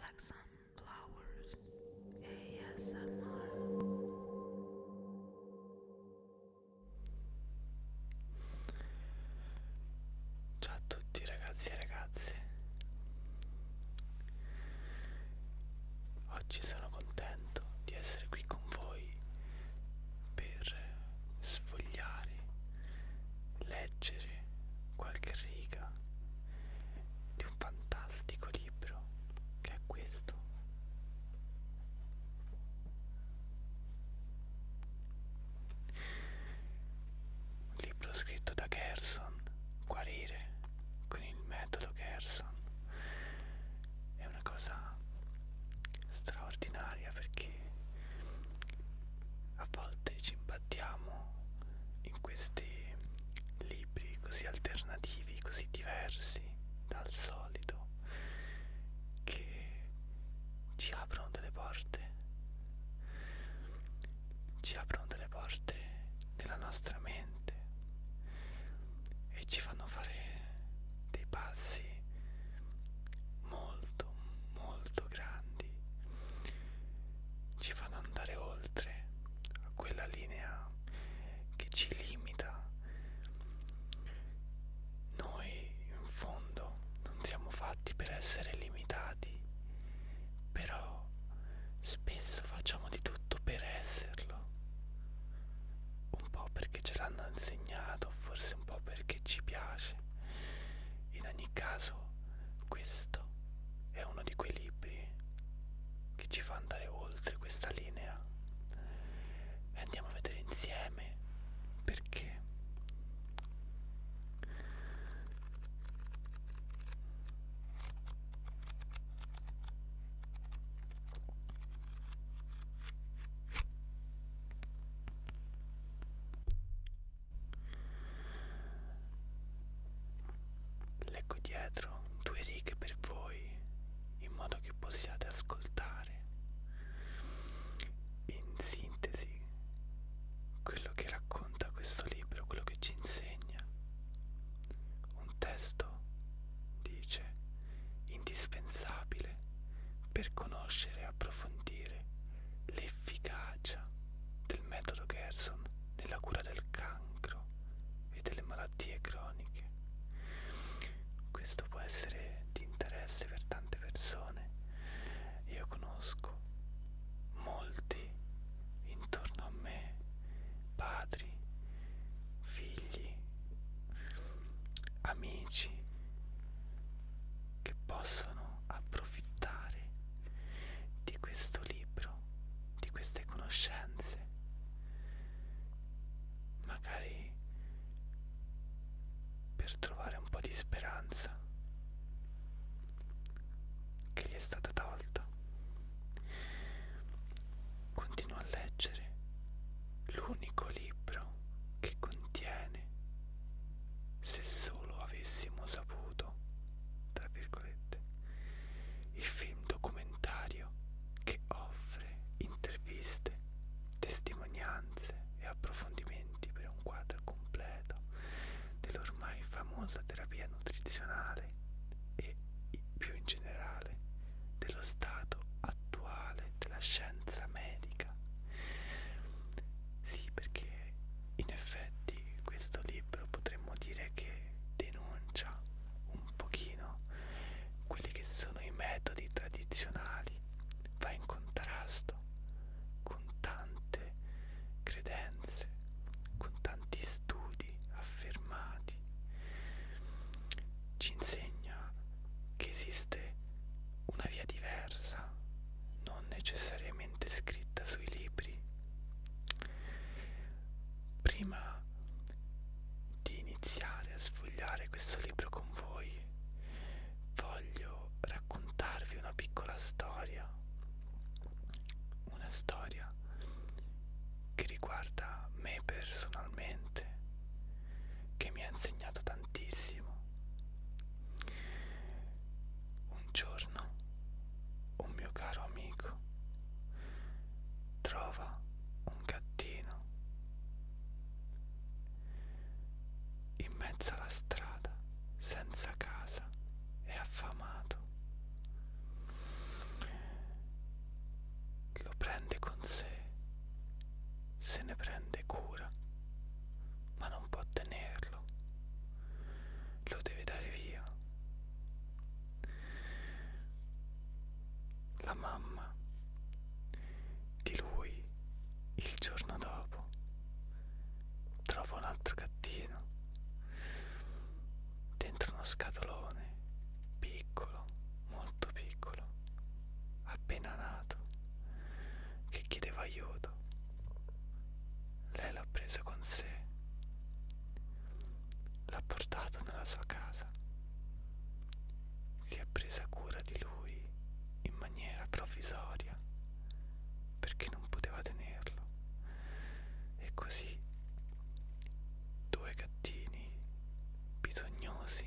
Like Sunflowers ASMR Ciao a tutti ragazzi e ragazze Oggi sono contento di essere qui con voi per sfogliare leggere qualche riga di un fantastico libro che è questo. Un libro scritto da Gerson, Guarire con il metodo Gerson. È una cosa straordinaria perché a volte volte ci imbattiamo in questi libri così alternativi, così diversi dal solito, che ci aprono delle porte, ci aprono delle porte della nostra mente e ci fanno fare dei passi molto molto grandi ci fanno andare oltre a quella linea che ci limita. Noi in fondo non siamo fatti per essere limitati, però spesso facciamo di tutto per esserlo. Un po' perché ce l'hanno insegnato, forse un po' perché ci piace. In ogni caso, questo è uno di quei libri che ci fa andare oltre questa linea e andiamo a vedere insieme perché Leggo dietro due righe per voi in modo che possiate ascoltare in sintesi quello che racconta questo libro, quello che ci insegna. Un testo dice indispensabile per conoscere e approfondire le l'efficacia del metodo Gerson nella cura del cancro e delle malattie croniche. Questo può essere di interesse per tante persone. Io conosco molti intorno a me, padri, figli, amici che possono approfittare di questo libro, di queste conoscenze. Magari per trovare un po' di speranza che gli è stata tolta. Continua a leggere l'unico libro che contiene, se solo avessimo saputo, tra virgolette, il film documentario che offre interviste, testimonianze e approfondimenti per un quadro completo dell'ormai famosa terapia nutrizionale e più in generale dello stato attuale della scienza medica. Sì, perché in effetti questo libro potremmo dire che denuncia un pochino quelli che sono i metodi tradizionali, va in contrasto con tante credenze, con tanti studi affermati, ci insegna che esiste una via diversa non necessariamente scritta sui libri. Prima di iniziare a sfogliare questo libro con voi, voglio raccontarvi una piccola storia, una storia che riguarda me personalmente, che mi ha insegnato tantissimo un giorno un mio caro amico trova un gattino in mezzo alla strada senza casa e affamato lo prende con sé se ne prende cura ma non può tenerlo lo deve dare via la mamma di lui il giorno dopo trova un altro gattino dentro uno scatolone piccolo, molto piccolo, appena nato, che chiedeva aiuto lei l'ha presa con sé, l'ha portato nella sua casa, si è presa cura di lui in maniera provvisoria perché non poteva tenerlo. E così due gattini bisognosi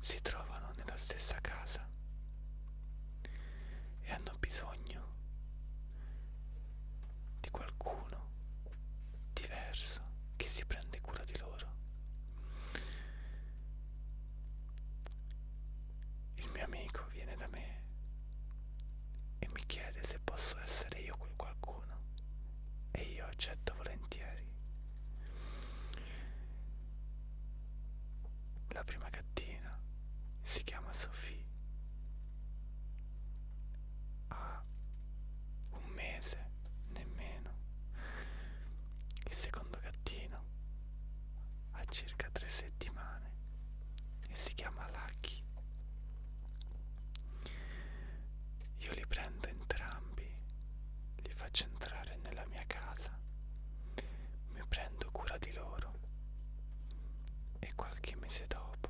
si trovano nella stessa casa e hanno bisogno di qualcuno diverso che si prende cura di loro. Il mio amico viene da me e mi chiede se posso essere io quel qualcuno e io accetto volentieri. La prima ragazzina si chiama Sophie ha un mese nemmeno il secondo gattino ha circa tre settimane e si chiama Lucky io li prendo entrambi li faccio entrare nella mia casa mi prendo cura di loro e qualche mese dopo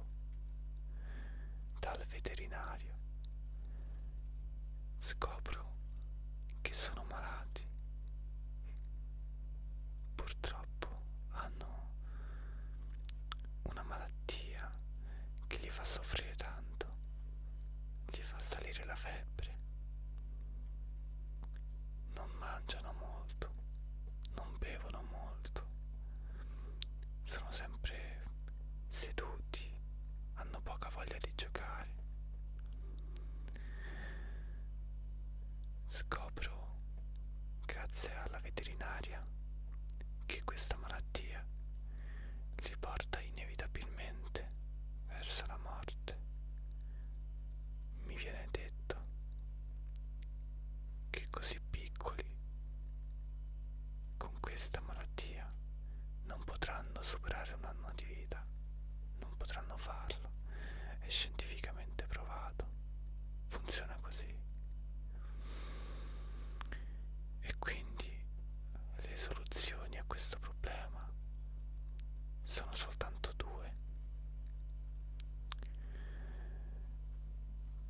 dal veterinario scopro che sono malati. Purtroppo hanno una malattia che li fa soffrire tanto, gli fa salire la febbre non mangiano molto, non bevono molto, sono sempre seduti, hanno poca voglia di giocare. Scopro, grazie alla veterinaria, che questa malattia li porta inevitabilmente verso la morte. Mi viene detto valletta che così piccoli con questa malattia non potranno superare un anno di vita, non potranno farlo, è scientificamente provato, funziona così. E quindi le soluzioni a questo problema sono soltanto due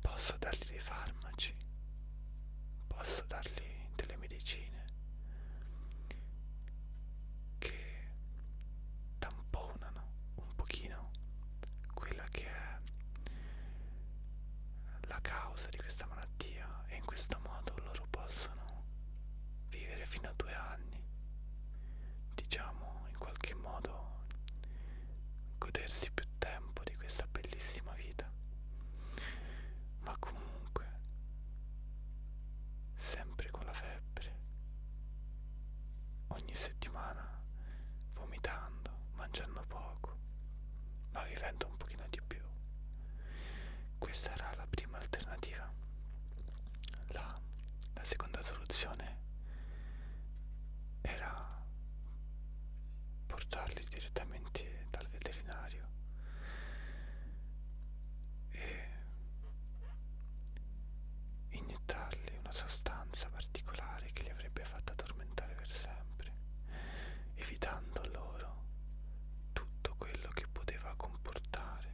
Posso dargli dei farmaci, posso dargli delle medicine che tamponano un pochino quella che è la causa di questa malattia e in questo modo loro possono vivere fino a due anni diciamo in qualche modo godersi più tempo di questa bellissima vita ma comunque sempre con la febbre ogni settimana vomitando mangiando poco ma vivendo un pochino di più questa era la prima alternativa la, la seconda soluzione soluzione era portarli direttamente dal veterinario e iniettarli una sostanza particolare che li avrebbe fatto addormentare per sempre, evitando loro tutto quello che poteva comportare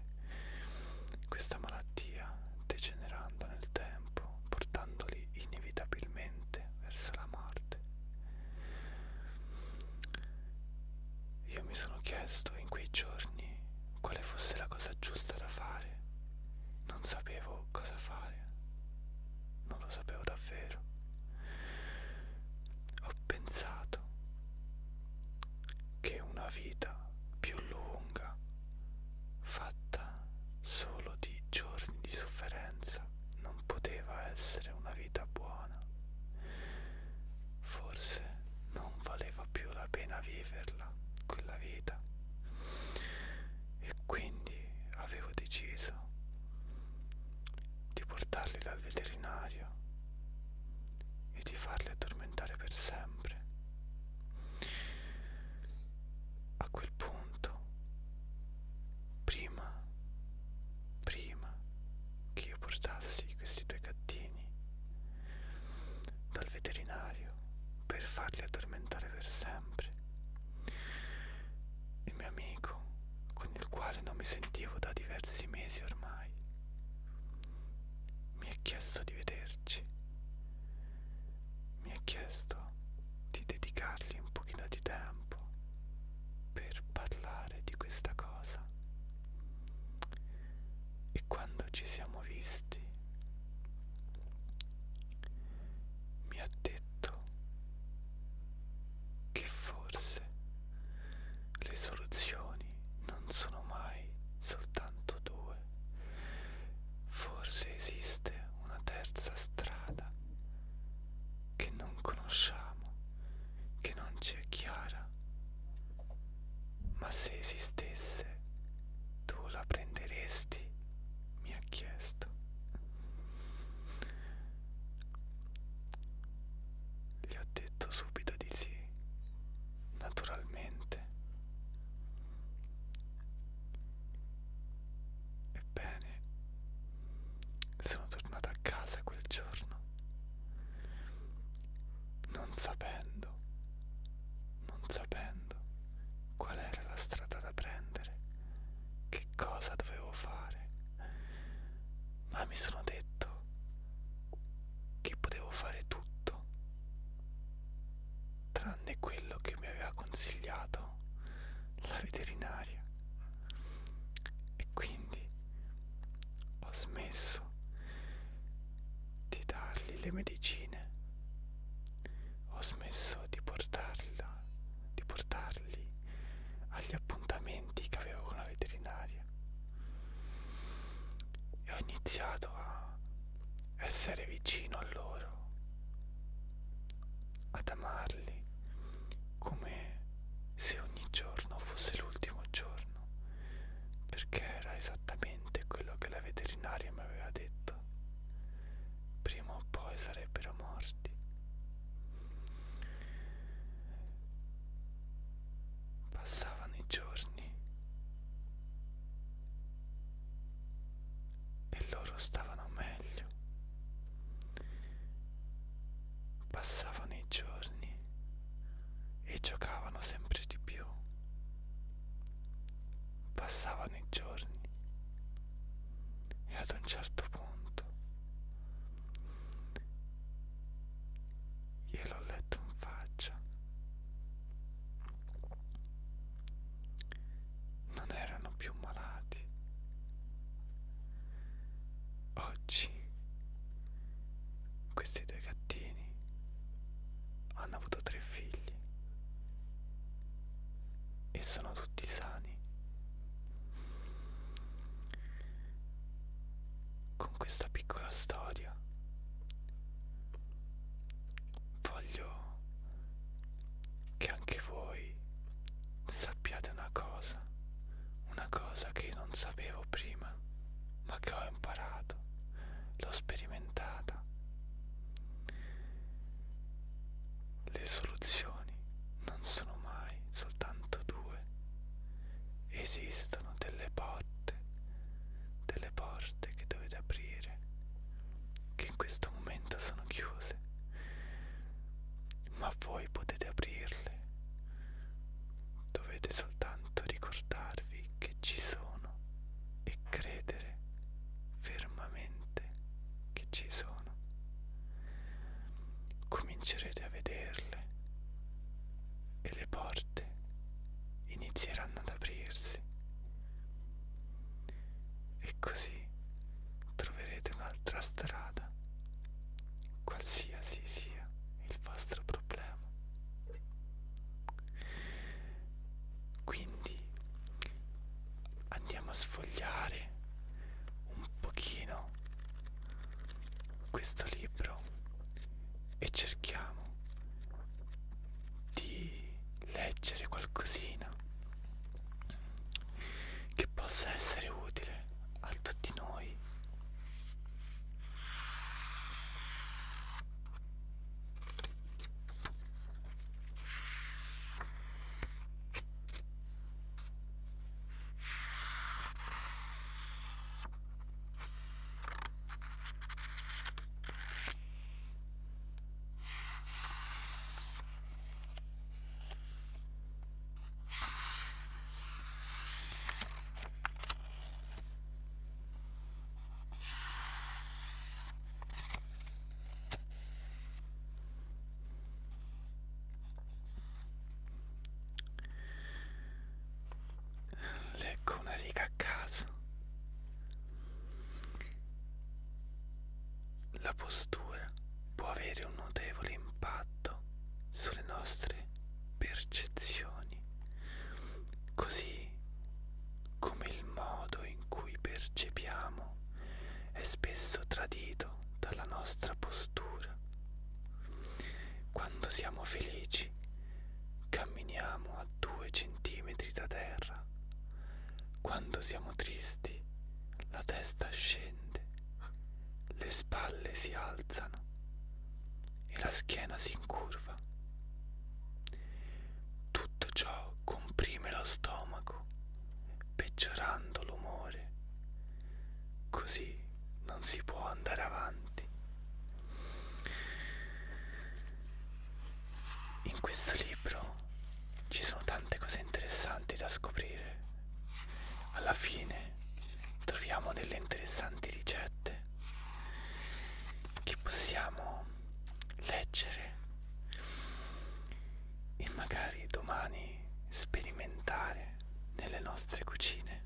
questa malattia degenerando nel tempo tempo, portandoli inevitabilmente verso la morte. Io mi sono chiesto in quei giorni quale fosse la cosa giusta da fare. Non sapevo cosa fare. Non lo sapevo davvero. Ho pensato che una vita più lunga fatta solo di giorni di sofferenza, non poteva essere una vita buona. Forse non valeva più la pena viverla, quella vita. E quindi avevo deciso di portarli dal veterinario e di farli addormentare per sempre a quel punto, prima, prima che io portassi questi due gattini dal veterinario per farli addormentare per sempre, il mio amico, con il quale non mi sentivo da diversi mesi ormai, mi ha chiesto di vederci mi ha chiesto di dedicargli un pochino di tempo per parlare di questa cosa e quando ci siamo visti mi ha detto che forse le soluzioni non sono mai soltanto due Forse esiste una terza strada che non conosciamo, che non ci è chiara, ma se esistesse tu la prenderesti, mi ha chiesto. Gli ho detto subito di sì, naturalmente. Ebbene, sono tornata a casa quel giorno, non sapendo, non sapendo qual era la strada da prendere, che cosa dovevo fare, ma mi sono detto che potevo fare tutto tranne quello che mi aveva consigliato la veterinaria e quindi ho smesso di dargli le medicine ho smesso di portarla di portarli agli appuntamenti che avevo con la veterinaria e ho iniziato a essere vicino a loro, ad amarli come se ogni giorno fosse l'ultimo giorno, perché era esattamente quello che la veterinaria mi aveva detto. Prima o poi sarebbero morti. Passavano i giorni e loro stavano meglio. Passavano i giorni e giocavano sempre di più. Passavano i giorni e ad un certo punto gliel'ho letto in faccia non erano più malati. Oggi questi due gattini hanno avuto tre figli e sono tutti sani. Con questa piccola storia voglio che anche voi sappiate una cosa, una cosa che io non sapevo prima, ma che ho imparato, l'ho sperimentata. Le soluzioni non sono mai soltanto due, esistono delle porte, delle porte che dovete aprire che in questo momento sono chiuse, ma voi potete aprirle. Dovete soltanto ricordarvi che ci sono e credere fermamente che ci sono. Comincerete a vederle e le porte inizieranno ad aprirsi e così troverete un'altra strada, qualsiasi sia il vostro problema. Quindi andiamo a sfogliare un pochino questo libro e cerchiamo di leggere qualcosina che possa essere utile a tutti noi Leggo una riga a caso la postura può avere un notevole impatto sulle nostre percezioni, così come il modo in cui percepiamo è spesso tradito dalla nostra postura. Quando siamo felici, camminiamo a due centimetri da terra, quando siamo tristi, la testa scende, le spalle si alzano e la schiena si incurva. Tutto ciò comprime lo stomaco, peggiorando l'umore. Così non si può andare avanti. In questo libro ci sono tante cose interessanti da scoprire. Alla fine troviamo delle interessanti ricette che possiamo leggere e magari domani sperimentare nelle nostre cucine.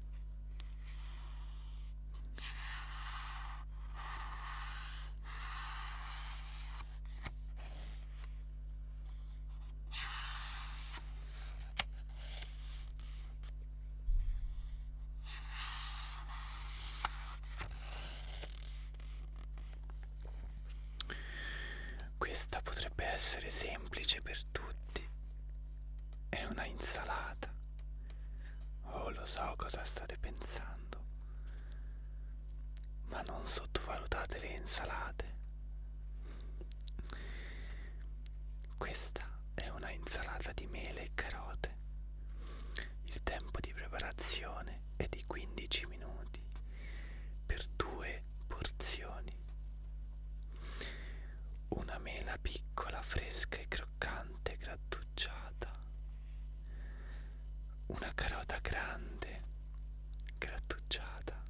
Questa potrebbe essere semplice per tutti. È una insalata. Oh, lo so cosa state pensando ma non sottovalutate le insalate. Questa è una insalata di mele e carote. Il tempo di preparazione è di 15 minuti per due porzioni. Una mela piccola, fresca e croccante grattugiata una carota grande, grattugiata,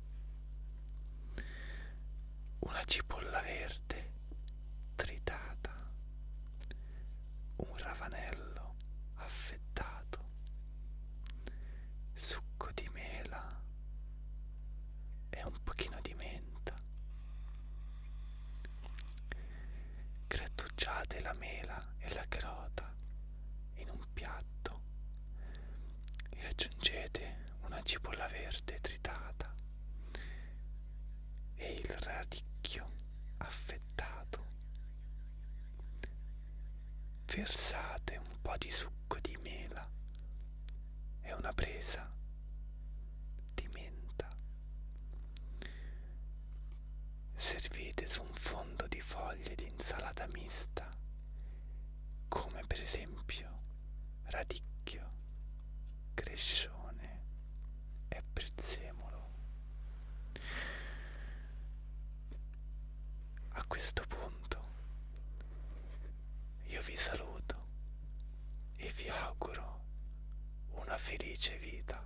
una cipolla verde, tritata, un ravanello affettato, succo di mela e un pochino di menta. Grattugiate la mela e la carota in un piatto e aggiungete una cipolla verde tritata e il radicchio affettato. Versate un po' di succo di mela e una presa di menta servite su un fondo di foglie di insalata mista, come per esempio radicchio, crescione e prezzemolo. A questo punto io vi saluto e vi auguro una felice vita.